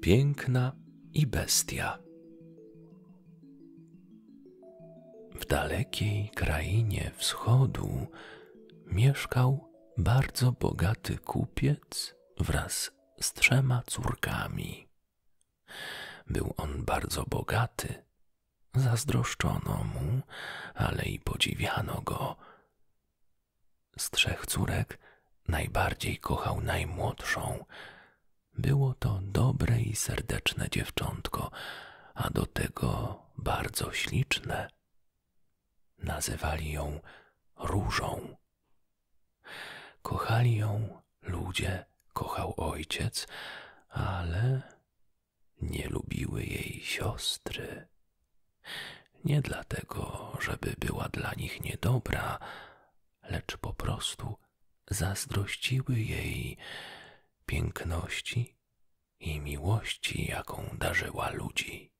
Piękna i bestia. W dalekiej krainie wschodu mieszkał bardzo bogaty kupiec wraz z trzema córkami. Był on bardzo bogaty. Zazdroszczono mu, ale i podziwiano go. Z trzech córek najbardziej kochał najmłodszą. Było to dobre i serdeczne dziewczątko, a do tego bardzo śliczne. Nazywali ją Różą. Kochali ją ludzie, kochał ojciec, ale nie lubiły jej siostry. Nie dlatego, żeby była dla nich niedobra, lecz po prostu zazdrościły jej piękności i miłości, jaką darzyła ludzi.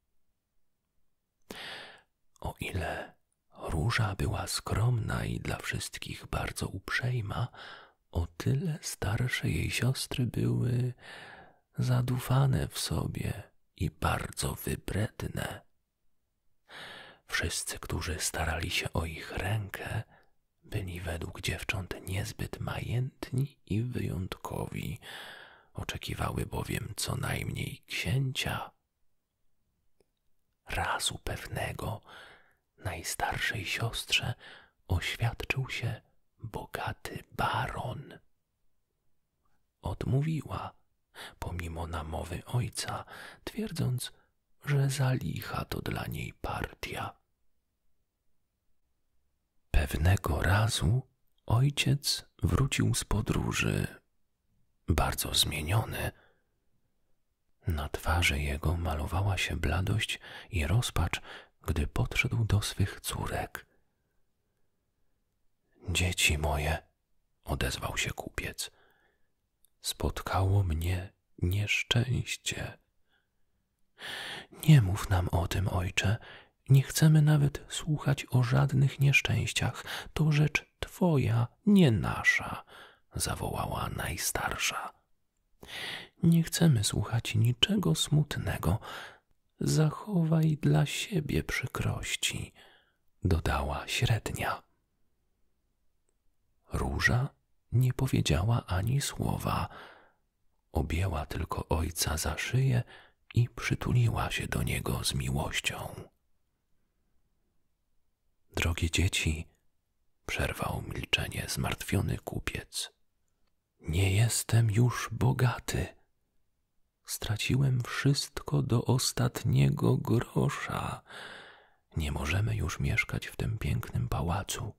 O ile Róża była skromna i dla wszystkich bardzo uprzejma, o tyle starsze jej siostry były zadufane w sobie i bardzo wybredne. Wszyscy, którzy starali się o ich rękę, byli według dziewcząt niezbyt majętni i wyjątkowi, oczekiwały bowiem co najmniej księcia, Razu pewnego najstarszej siostrze oświadczył się bogaty baron. Odmówiła, pomimo namowy ojca, twierdząc, że zalicha to dla niej partia. Pewnego razu ojciec wrócił z podróży bardzo zmieniony. Na twarzy jego malowała się bladość i rozpacz, gdy podszedł do swych córek. Dzieci moje, odezwał się kupiec, spotkało mnie nieszczęście. Nie mów nam o tym, ojcze. Nie chcemy nawet słuchać o żadnych nieszczęściach. To rzecz twoja, nie nasza, zawołała najstarsza. Nie chcemy słuchać niczego smutnego, zachowaj dla siebie przykrości, dodała średnia. Róża nie powiedziała ani słowa, objęła tylko ojca za szyję i przytuliła się do niego z miłością. Drogie dzieci, przerwał milczenie zmartwiony kupiec. Nie jestem już bogaty. Straciłem wszystko do ostatniego grosza. Nie możemy już mieszkać w tym pięknym pałacu.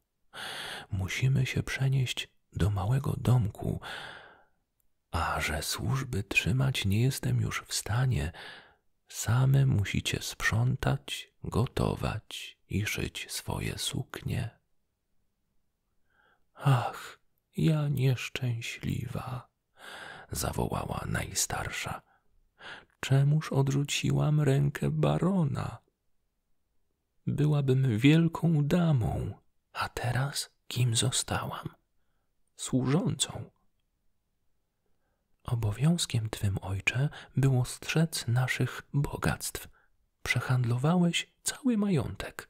Musimy się przenieść do małego domku. A że służby trzymać nie jestem już w stanie, Same musicie sprzątać, gotować i szyć swoje suknie. Ach, ja nieszczęśliwa, zawołała najstarsza. Czemuż odrzuciłam rękę barona? Byłabym wielką damą, a teraz kim zostałam? Służącą. Obowiązkiem twym, ojcze, było strzec naszych bogactw. Przehandlowałeś cały majątek,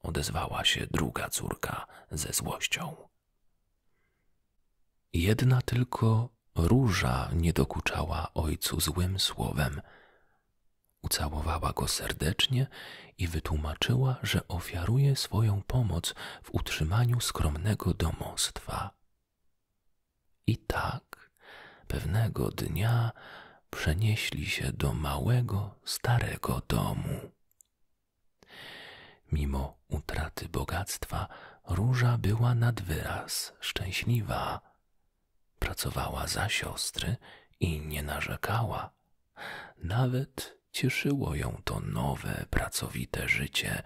odezwała się druga córka ze złością. Jedna tylko róża nie dokuczała ojcu złym słowem. Ucałowała go serdecznie i wytłumaczyła, że ofiaruje swoją pomoc w utrzymaniu skromnego domostwa. I tak pewnego dnia przenieśli się do małego, starego domu. Mimo utraty bogactwa, róża była nadwyraz szczęśliwa. Pracowała za siostry i nie narzekała. Nawet Cieszyło ją to nowe, pracowite życie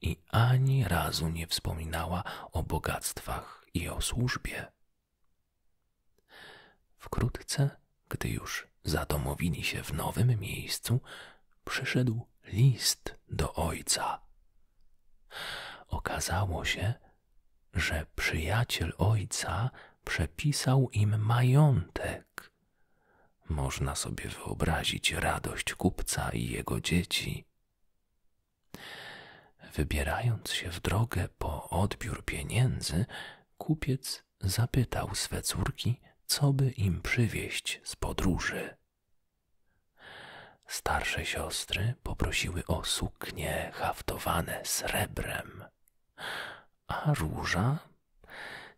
i ani razu nie wspominała o bogactwach i o służbie. Wkrótce, gdy już zadomowili się w nowym miejscu, przyszedł list do ojca. Okazało się, że przyjaciel ojca przepisał im majątek można sobie wyobrazić radość kupca i jego dzieci. Wybierając się w drogę po odbiór pieniędzy, kupiec zapytał swe córki, co by im przywieźć z podróży. Starsze siostry poprosiły o suknie haftowane srebrem, a róża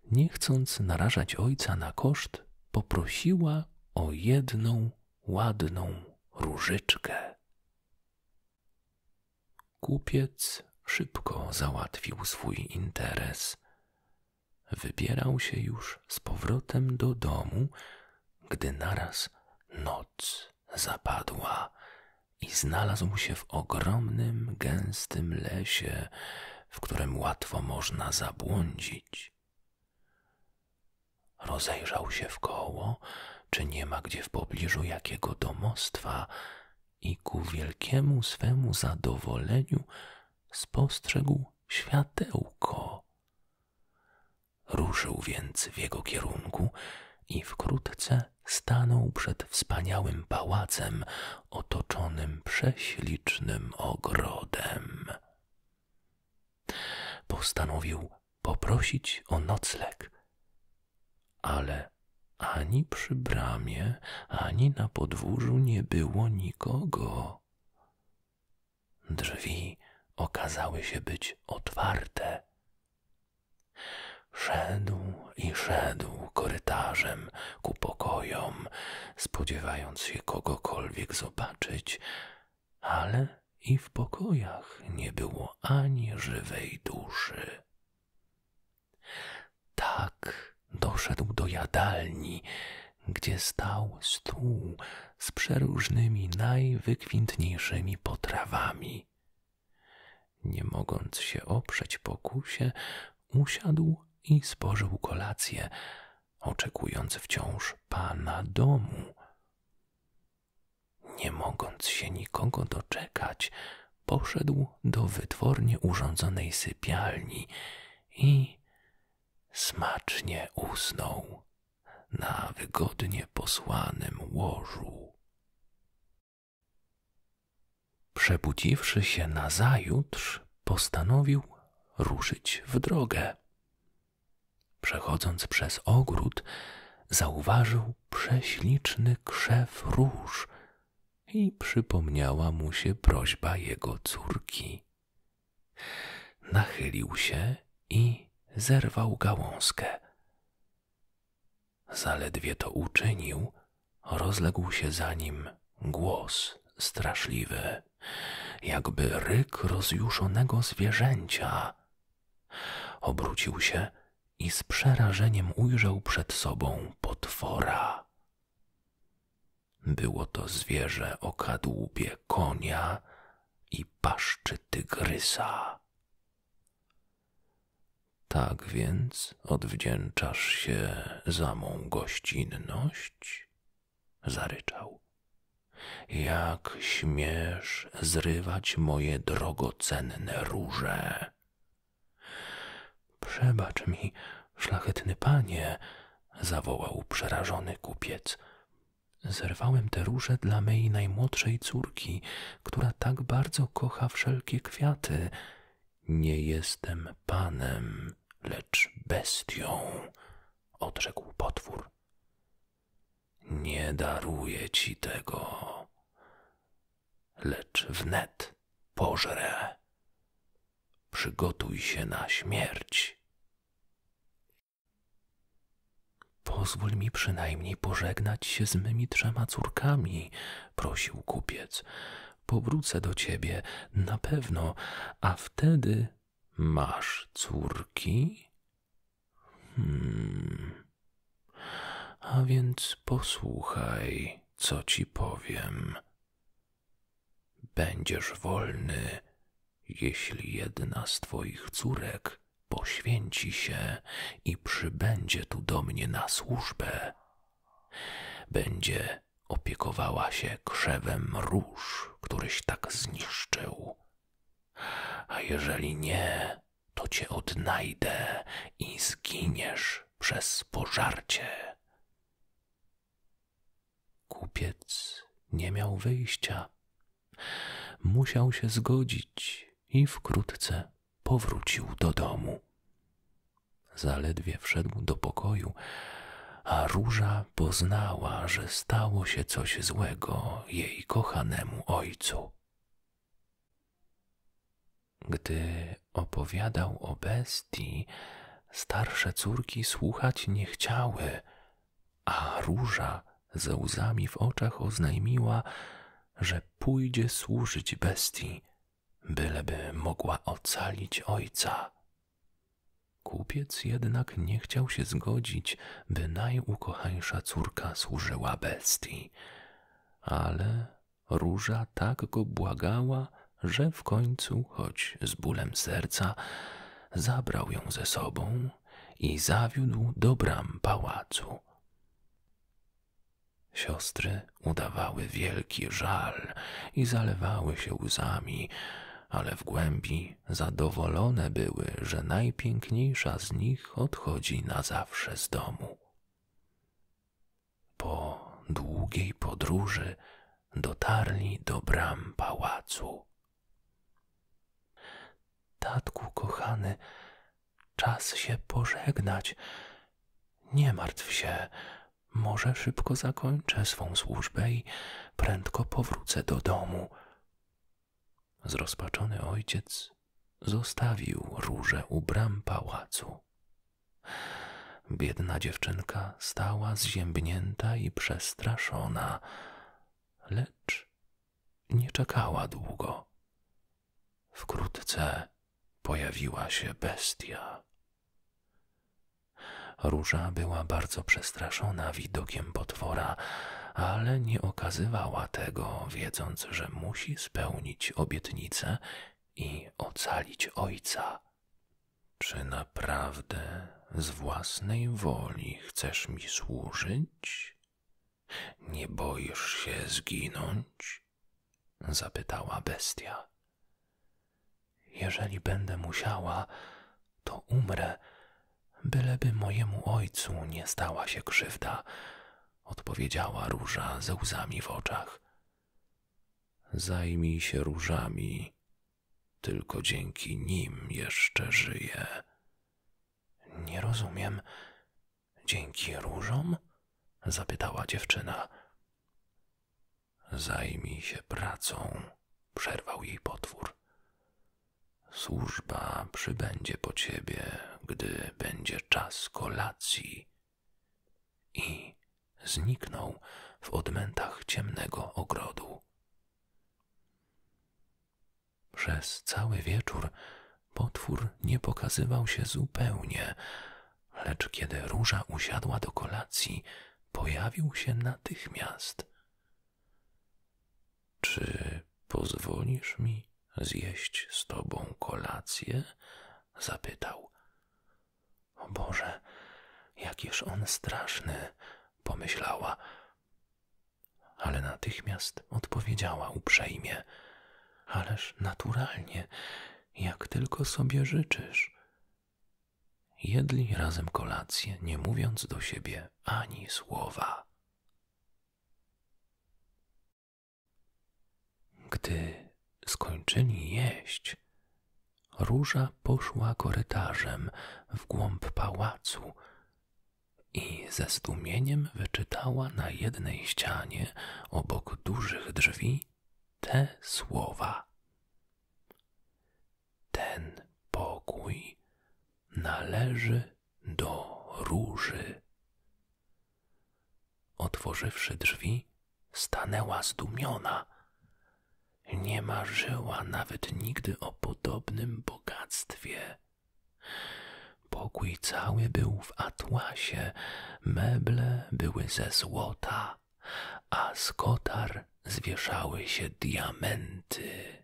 nie chcąc narażać ojca na koszt, poprosiła o jedną ładną różyczkę. Kupiec szybko załatwił swój interes. Wybierał się już z powrotem do domu, gdy naraz noc zapadła i znalazł się w ogromnym, gęstym lesie, w którym łatwo można zabłądzić. Rozejrzał się wkoło, czy nie ma gdzie w pobliżu jakiego domostwa, i ku wielkiemu swemu zadowoleniu spostrzegł światełko. Ruszył więc w jego kierunku i wkrótce stanął przed wspaniałym pałacem otoczonym prześlicznym ogrodem. Postanowił poprosić o nocleg, ale ani przy bramie, ani na podwórzu nie było nikogo. Drzwi okazały się być otwarte. Szedł i szedł korytarzem, ku pokojom, spodziewając się kogokolwiek zobaczyć, ale i w pokojach nie było ani żywej duszy. Tak doszedł do jadalni, gdzie stał stół z przeróżnymi najwykwintniejszymi potrawami. Nie mogąc się oprzeć pokusie, usiadł i spożył kolację, oczekując wciąż pana domu. Nie mogąc się nikogo doczekać, poszedł do wytwornie urządzonej sypialni i smacznie usnął na wygodnie posłanym łożu. Przebudziwszy się nazajutrz, postanowił ruszyć w drogę. Przechodząc przez ogród, zauważył prześliczny krzew róż i przypomniała mu się prośba jego córki. Nachylił się i zerwał gałązkę. Zaledwie to uczynił, rozległ się za nim głos straszliwy, jakby ryk rozjuszonego zwierzęcia. Obrócił się i z przerażeniem ujrzał przed sobą potwora. Było to zwierzę o kadłubie konia i paszczy tygrysa. Tak więc odwdzięczasz się za mą gościnność? Zaryczał. Jak śmiesz zrywać moje drogocenne róże? Przebacz mi, szlachetny panie, zawołał przerażony kupiec. Zerwałem te róże dla mej najmłodszej córki, która tak bardzo kocha wszelkie kwiaty nie jestem panem, lecz bestią, odrzekł potwór. Nie daruję ci tego, lecz wnet pożrę. Przygotuj się na śmierć. Pozwól mi przynajmniej pożegnać się z mymi trzema córkami, prosił kupiec powrócę do ciebie na pewno, a wtedy masz córki? Hmm. A więc posłuchaj, co ci powiem. Będziesz wolny, jeśli jedna z twoich córek poświęci się i przybędzie tu do mnie na służbę będzie opiekowała się krzewem róż, któryś tak zniszczył. A jeżeli nie, to cię odnajdę i zginiesz przez pożarcie. Kupiec nie miał wyjścia. Musiał się zgodzić i wkrótce powrócił do domu. Zaledwie wszedł do pokoju, a róża poznała, że stało się coś złego jej kochanemu ojcu. Gdy opowiadał o bestii, starsze córki słuchać nie chciały, a róża ze łzami w oczach oznajmiła, że pójdzie służyć bestii byleby mogła ocalić ojca. Kupiec jednak nie chciał się zgodzić, by najukochańsza córka służyła bestii, ale róża tak go błagała, że w końcu, choć z bólem serca, zabrał ją ze sobą i zawiódł do bram pałacu. Siostry udawały wielki żal i zalewały się łzami, ale w głębi zadowolone były, że najpiękniejsza z nich odchodzi na zawsze z domu. Po długiej podróży dotarli do bram pałacu. Tatku kochany, czas się pożegnać. Nie martw się, może szybko zakończę swą służbę i prędko powrócę do domu. Zrozpaczony ojciec zostawił róże u bram pałacu. Biedna dziewczynka stała zziębnięta i przestraszona, lecz nie czekała długo. Wkrótce pojawiła się bestia. Róża była bardzo przestraszona widokiem potwora, ale nie okazywała tego, wiedząc, że musi spełnić obietnicę i ocalić ojca. Czy naprawdę z własnej woli chcesz mi służyć? Nie boisz się zginąć? zapytała bestia. Jeżeli będę musiała, to umrę, byleby mojemu ojcu nie stała się krzywda, odpowiedziała róża ze łzami w oczach. Zajmij się różami, tylko dzięki nim jeszcze żyję. Nie rozumiem, Dzięki różom? zapytała dziewczyna. Zajmij się pracą, przerwał jej potwór. Służba przybędzie po ciebie, gdy będzie czas kolacji. I zniknął w odmętach ciemnego ogrodu. Przez cały wieczór potwór nie pokazywał się zupełnie, lecz kiedy róża usiadła do kolacji, pojawił się natychmiast. Czy pozwolisz mi zjeść z tobą kolację? zapytał. O Boże, jakież on straszny, pomyślała. Ale natychmiast odpowiedziała uprzejmie: ależ naturalnie, jak tylko sobie życzysz. Jedli razem kolację, nie mówiąc do siebie ani słowa. Gdy skończyli jeść, róża poszła korytarzem w głąb pałacu i ze zdumieniem wyczytała na jednej ścianie obok dużych drzwi te słowa. Ten pokój należy do róży. Otworzywszy drzwi, stanęła zdumiona. Nie marzyła nawet nigdy o podobnym bogactwie. Pokój cały był w atłasie, meble były ze złota, a z kotar zwieszały się diamenty.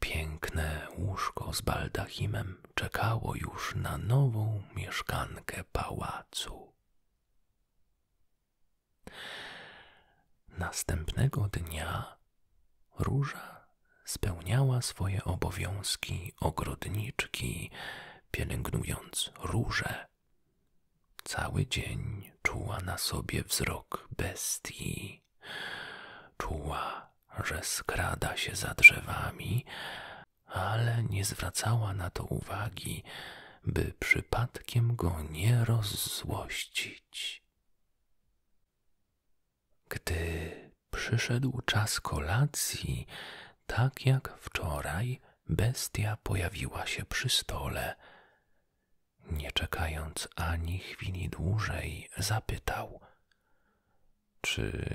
Piękne łóżko z baldachimem czekało już na nową mieszkankę pałacu. Następnego dnia Róża spełniała swoje obowiązki ogrodniczki, pielęgnując róże. Cały dzień czuła na sobie wzrok bestii. Czuła, że skrada się za drzewami, ale nie zwracała na to uwagi, by przypadkiem go nie rozzłościć. Gdy przyszedł czas kolacji, tak jak wczoraj bestia pojawiła się przy stole. Nie czekając ani chwili dłużej, zapytał: Czy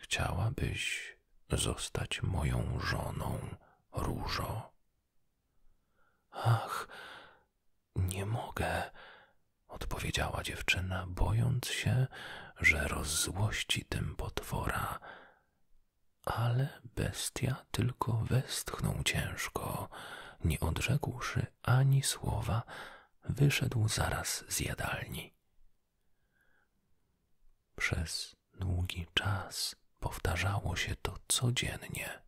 chciałabyś zostać moją żoną, różo? Ach, nie mogę, odpowiedziała dziewczyna, bojąc się, że rozzłości tym potwora. Ale bestia tylko westchnął ciężko, nie odrzekłszy ani słowa, wyszedł zaraz z jadalni. Przez długi czas powtarzało się to codziennie.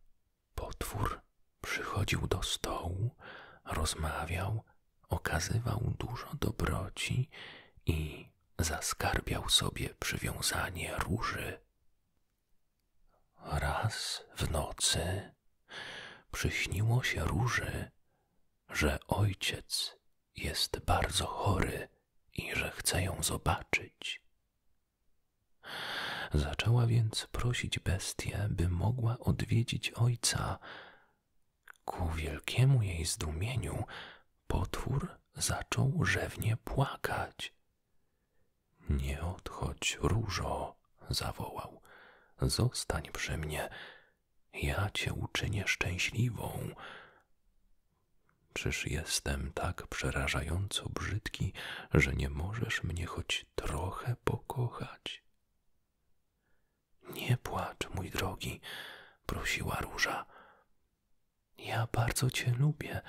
Potwór przychodził do stołu, rozmawiał, okazywał dużo dobroci i zaskarbiał sobie przywiązanie róży. Raz w nocy przyśniło się róży, że ojciec jest bardzo chory i że chce ją zobaczyć. Zaczęła więc prosić bestię, by mogła odwiedzić ojca, Ku wielkiemu jej zdumieniu potwór zaczął rzewnie płakać. Nie odchodź, różo, zawołał. Zostań przy mnie. Ja cię uczynię szczęśliwą. Czyż jestem tak przerażająco brzydki, że nie możesz mnie choć trochę pokochać? Nie płacz, mój drogi, prosiła róża. Ja bardzo cię lubię,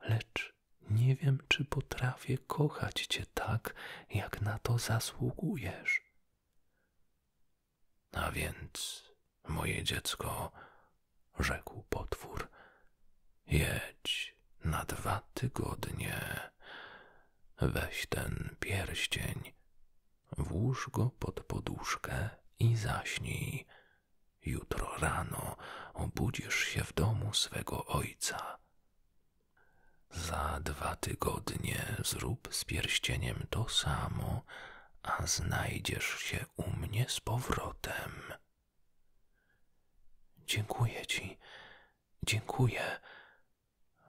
lecz nie wiem, czy potrafię kochać cię tak, jak na to zasługujesz. A więc, moje dziecko, rzekł potwór, jedź na dwa tygodnie, weź ten pierścień Włóż go pod poduszkę i zaśnij. Jutro rano obudzisz się w domu swego ojca. Za dwa tygodnie zrób z pierścieniem to samo, a znajdziesz się u mnie z powrotem. Dziękuję ci, dziękuję,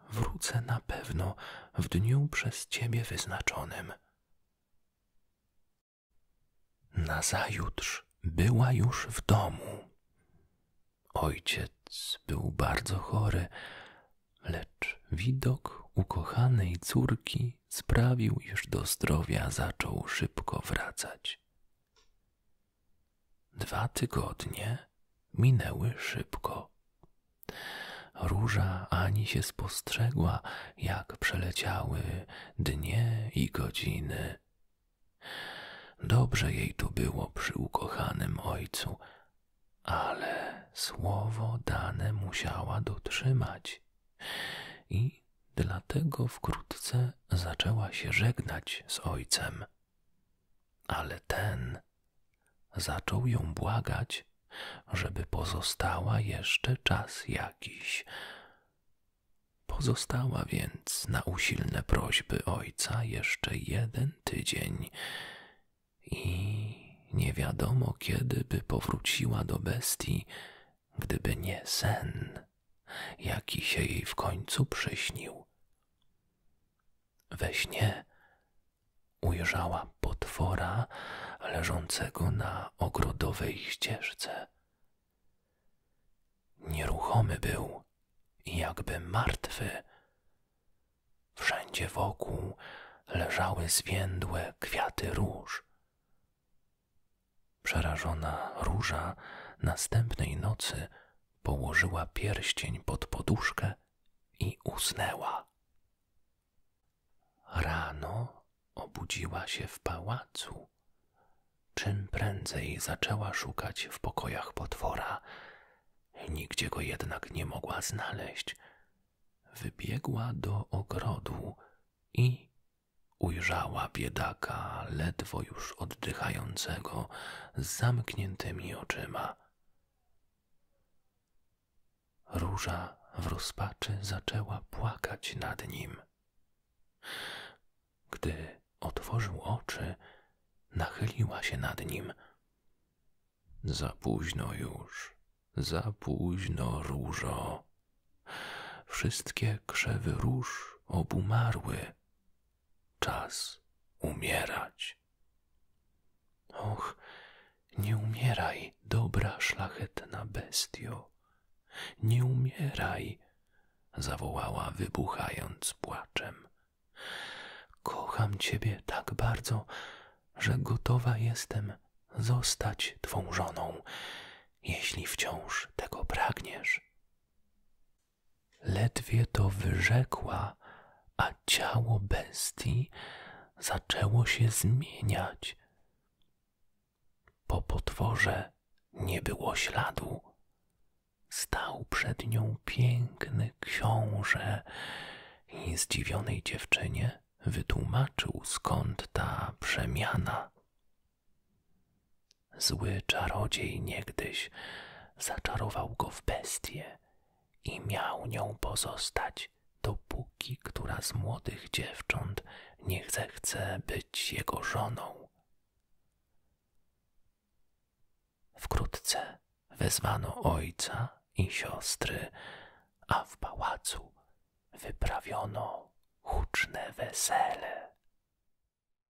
Wrócę na pewno w dniu przez ciebie wyznaczonym. Nazajutrz była już w domu. Ojciec był bardzo chory, lecz widok ukochanej córki sprawił, iż do zdrowia zaczął szybko wracać. Dwa tygodnie minęły szybko. Róża ani się spostrzegła, jak przeleciały dnie i godziny. Dobrze jej tu było przy ukochanym ojcu, ale słowo dane musiała dotrzymać i dlatego wkrótce zaczęła się żegnać z ojcem ale ten zaczął ją błagać, żeby pozostała jeszcze czas jakiś. Pozostała więc na usilne prośby ojca jeszcze jeden tydzień i nie wiadomo kiedy by powróciła do bestii, gdyby nie sen, jaki się jej w końcu przyśnił we śnie ujrzała potwora leżącego na ogrodowej ścieżce. Nieruchomy był, jakby martwy. Wszędzie wokół leżały zwiędłe kwiaty róż. Przerażona róża następnej nocy położyła pierścień pod poduszkę i usnęła. Rano obudziła się w pałacu. Czym prędzej zaczęła szukać w pokojach potwora, nigdzie go jednak nie mogła znaleźć. Wybiegła do ogrodu i ujrzała biedaka, ledwo już oddychającego, z zamkniętymi oczyma. Róża w rozpaczy zaczęła płakać nad nim. Gdy otworzył oczy, nachyliła się nad nim. Za późno już, za późno, różo. Wszystkie krzewy róż obumarły, Czas umierać. Och, nie umieraj, dobra szlachetna bestio. Nie umieraj, zawołała, wybuchając płaczem. Kocham ciebie tak bardzo, że gotowa jestem zostać twoją żoną, jeśli wciąż tego pragniesz. Ledwie to wyrzekła, a ciało bestii zaczęło się zmieniać. Po potworze nie było śladu. Stał przed nią piękny książę i zdziwionej dziewczynie wytłumaczył skąd ta przemiana. Zły czarodziej niegdyś zaczarował go w bestię i miał nią pozostać, dopóki która z młodych dziewcząt nie zechce być jego żoną. Wkrótce wezwano ojca i siostry, a w pałacu wyprawiono huczne wesele.